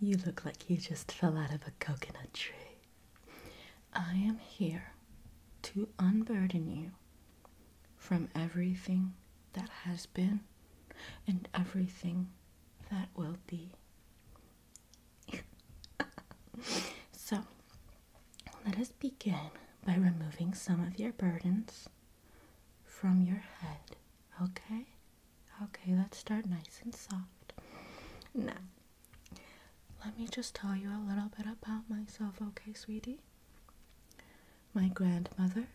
You look like you just fell out of a coconut tree. I am here to unburden you from everything that has been and everything that will be. so, let us begin by removing some of your burdens from your head, okay? Okay, let's start nice and soft. Now, let me just tell you a little bit about myself, okay, sweetie? My grandmother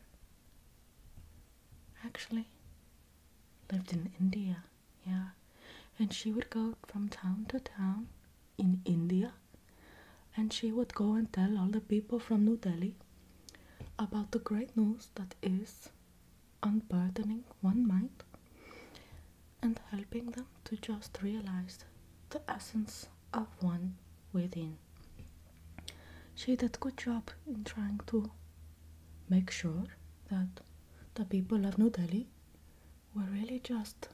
actually lived in India, yeah. And she would go from town to town in India and she would go and tell all the people from New Delhi about the great news that is unburdening one mind and helping them to just realize the essence of one within. She did a good job in trying to make sure that the people of New Delhi were really just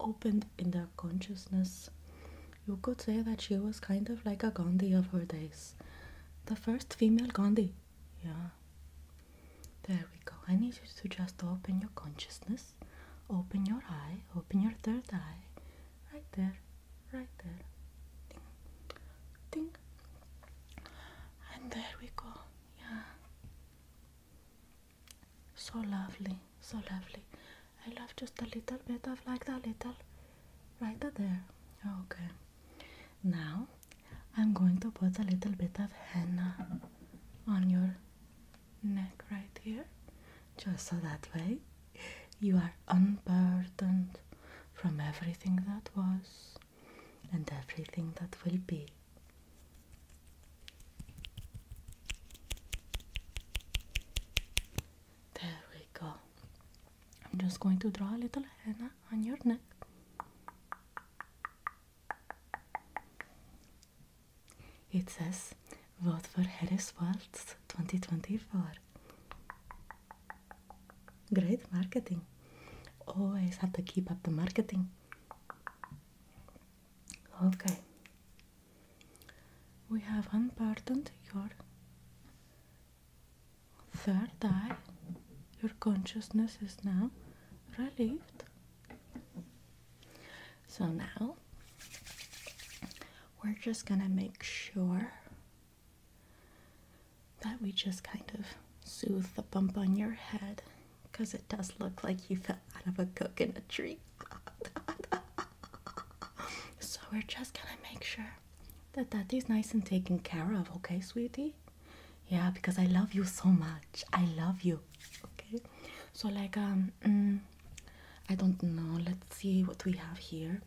opened in their consciousness. You could say that she was kind of like a Gandhi of her days. The first female Gandhi. Yeah. There we go. I need you to just open your consciousness, open your eye, open your third eye. Right there, right there. Ding, ding. And there we go. Yeah. So lovely, so lovely. I love just a little bit of like the little right there. Okay. Now I'm going to put a little bit of henna on your neck right here. Just so that way you are unburdened from everything that was and everything that will be. There we go. I'm just going to draw a little henna on your neck. It says, vote for Harris Waltz 2024. Great marketing. Always have to keep up the marketing. Okay. We have unburdened your third eye. Your consciousness is now relieved. So now we're just going to make sure that we just kind of soothe the bump on your head because it does look like you fell out of a coconut tree. so we're just gonna make sure that that is nice and taken care of, okay, sweetie? Yeah, because I love you so much. I love you. Okay. So like um mm, I don't know. Let's see what we have here.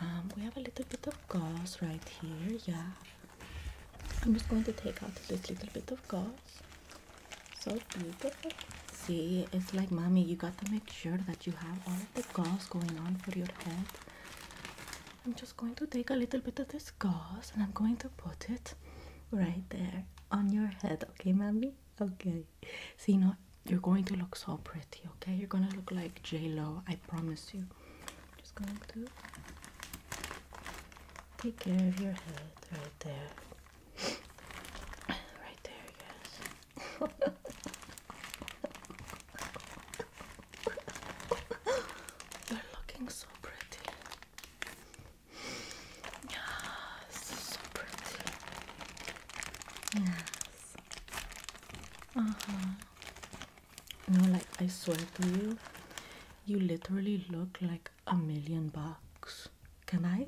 Um, we have a little bit of gauze right here. Yeah. I'm just going to take out this little bit of gauze. So beautiful. See, it's like mommy, you got to make sure that you have all of the gauze going on for your head. I'm just going to take a little bit of this gauze and I'm going to put it right there on your head. Okay, mommy? Okay. See, now you're going to look so pretty, okay? You're going to look like J-Lo, I promise you just going to take care of your head right there. right there, yes. You're looking so pretty. Yes, so pretty. Yes. Uh huh. You know, like I swear to you, you literally look like a million bucks. Can I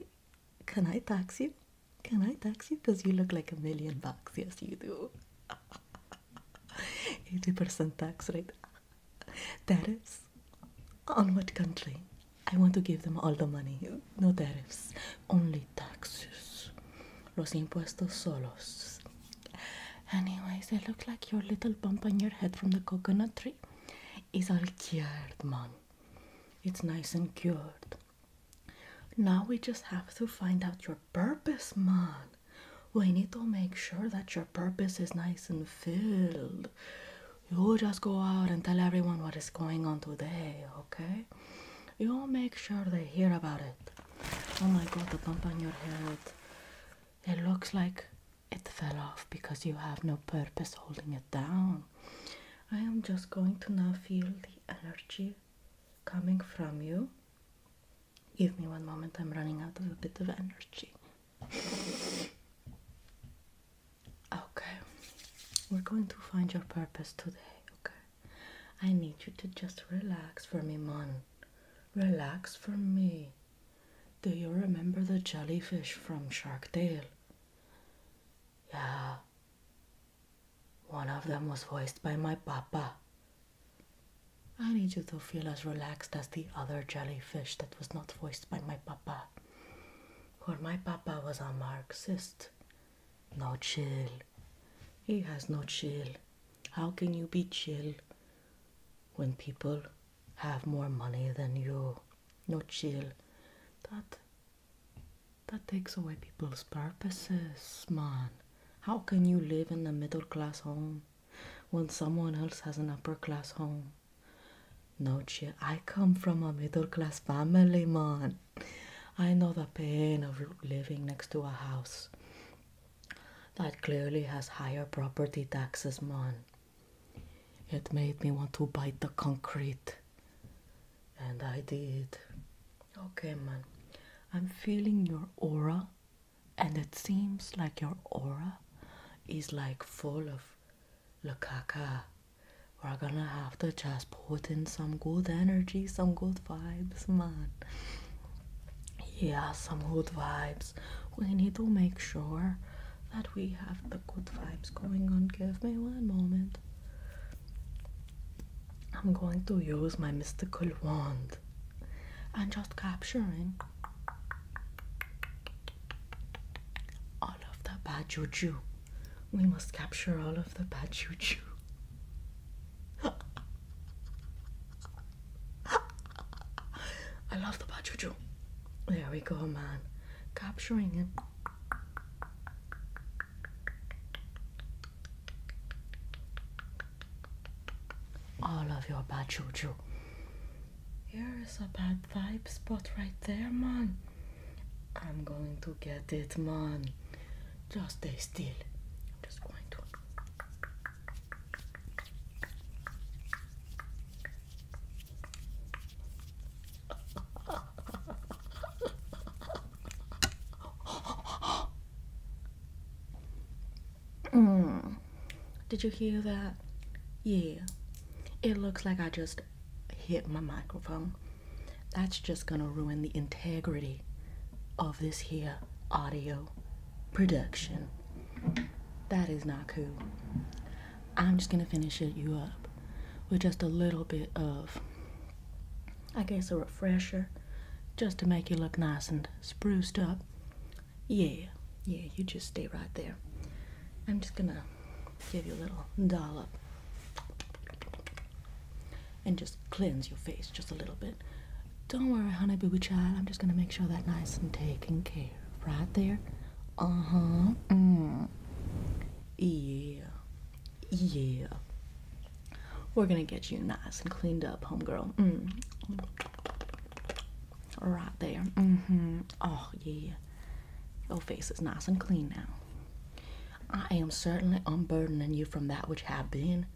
can I tax you? Can I tax you? Because you look like a million bucks. Yes you do. 80% tax rate. Tariffs? On what country? I want to give them all the money. No tariffs. Only taxes. Los impuestos solos. Anyways, it looks like your little bump on your head from the coconut tree is all cured, man. It's nice and cured. Now we just have to find out your purpose, man. We need to make sure that your purpose is nice and filled. You just go out and tell everyone what is going on today, okay? You make sure they hear about it. Oh my god, the bump on your head. It looks like it fell off because you have no purpose holding it down. I am just going to now feel the energy coming from you. Give me one moment, I'm running out of a bit of energy. Okay, we're going to find your purpose today, okay? I need you to just relax for me, Mon. Relax for me. Do you remember the jellyfish from Shark Tale? Yeah. One of them was voiced by my papa. I need you to feel as relaxed as the other jellyfish that was not voiced by my papa. For my papa was a Marxist. No chill. He has no chill. How can you be chill when people have more money than you? No chill. That that takes away people's purposes, man. How can you live in a middle class home when someone else has an upper class home? No chill. I come from a middle class family, man. I know the pain of living next to a house that clearly has higher property taxes, man. It made me want to bite the concrete. And I did. Okay, man. I'm feeling your aura, and it seems like your aura is like full of lakaka. We're gonna have to just putting some good energy, some good vibes, man. Yeah, some good vibes. We need to make sure that we have the good vibes going on. Give me one moment. I'm going to use my mystical wand and just capturing all of the bad juju. We must capture all of the bad juju. I love the bad juju. There we go, man. Capturing him. All of your bad juju. Here is a bad vibe spot right there, man. I'm going to get it, man. Just stay still. I'm just going to. mm. Did you hear that? Yeah. It looks like I just hit my microphone, that's just going to ruin the integrity of this here audio production. That is not cool. I'm just going to finish it you up with just a little bit of, I guess, a refresher just to make you look nice and spruced up. Yeah, yeah, you just stay right there. I'm just going to give you a little dollop and just cleanse your face just a little bit. Don't worry, honey, boo child. I'm just gonna make sure that nice and taken care Right there. Uh huh. Mm. Yeah. Yeah. We're gonna get you nice and cleaned up, homegirl. Mm. Right there. Mm hmm. Oh, yeah. Your face is nice and clean now. I am certainly unburdening you from that which have been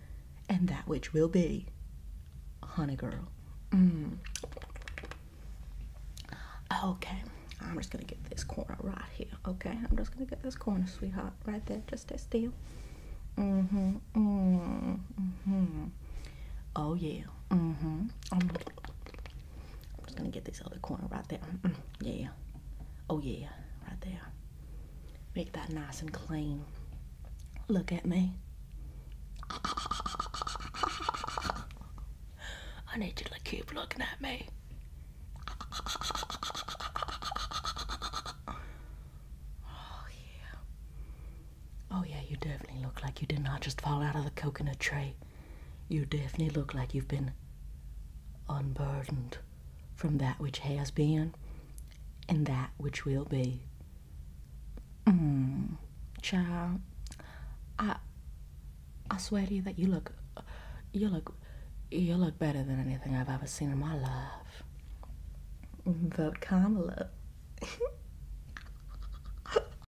and that which will be. Honey girl. Mm. Okay, I'm just gonna get this corner right here. Okay, I'm just gonna get this corner, sweetheart, right there. Just stay still. Mm-hmm, mm-hmm. Mm-hmm. Oh yeah. Mm-hmm. Um, I'm just gonna get this other corner right there. Yeah. Oh yeah, right there. Make that nice and clean. Look at me. I need you to keep looking at me. Oh yeah. Oh yeah, you definitely look like you did not just fall out of the coconut tree. You definitely look like you've been unburdened from that which has been and that which will be. Mm, child, I I swear to you that you look you look you look better than anything I've ever seen in my life. Vote mm, Kamala.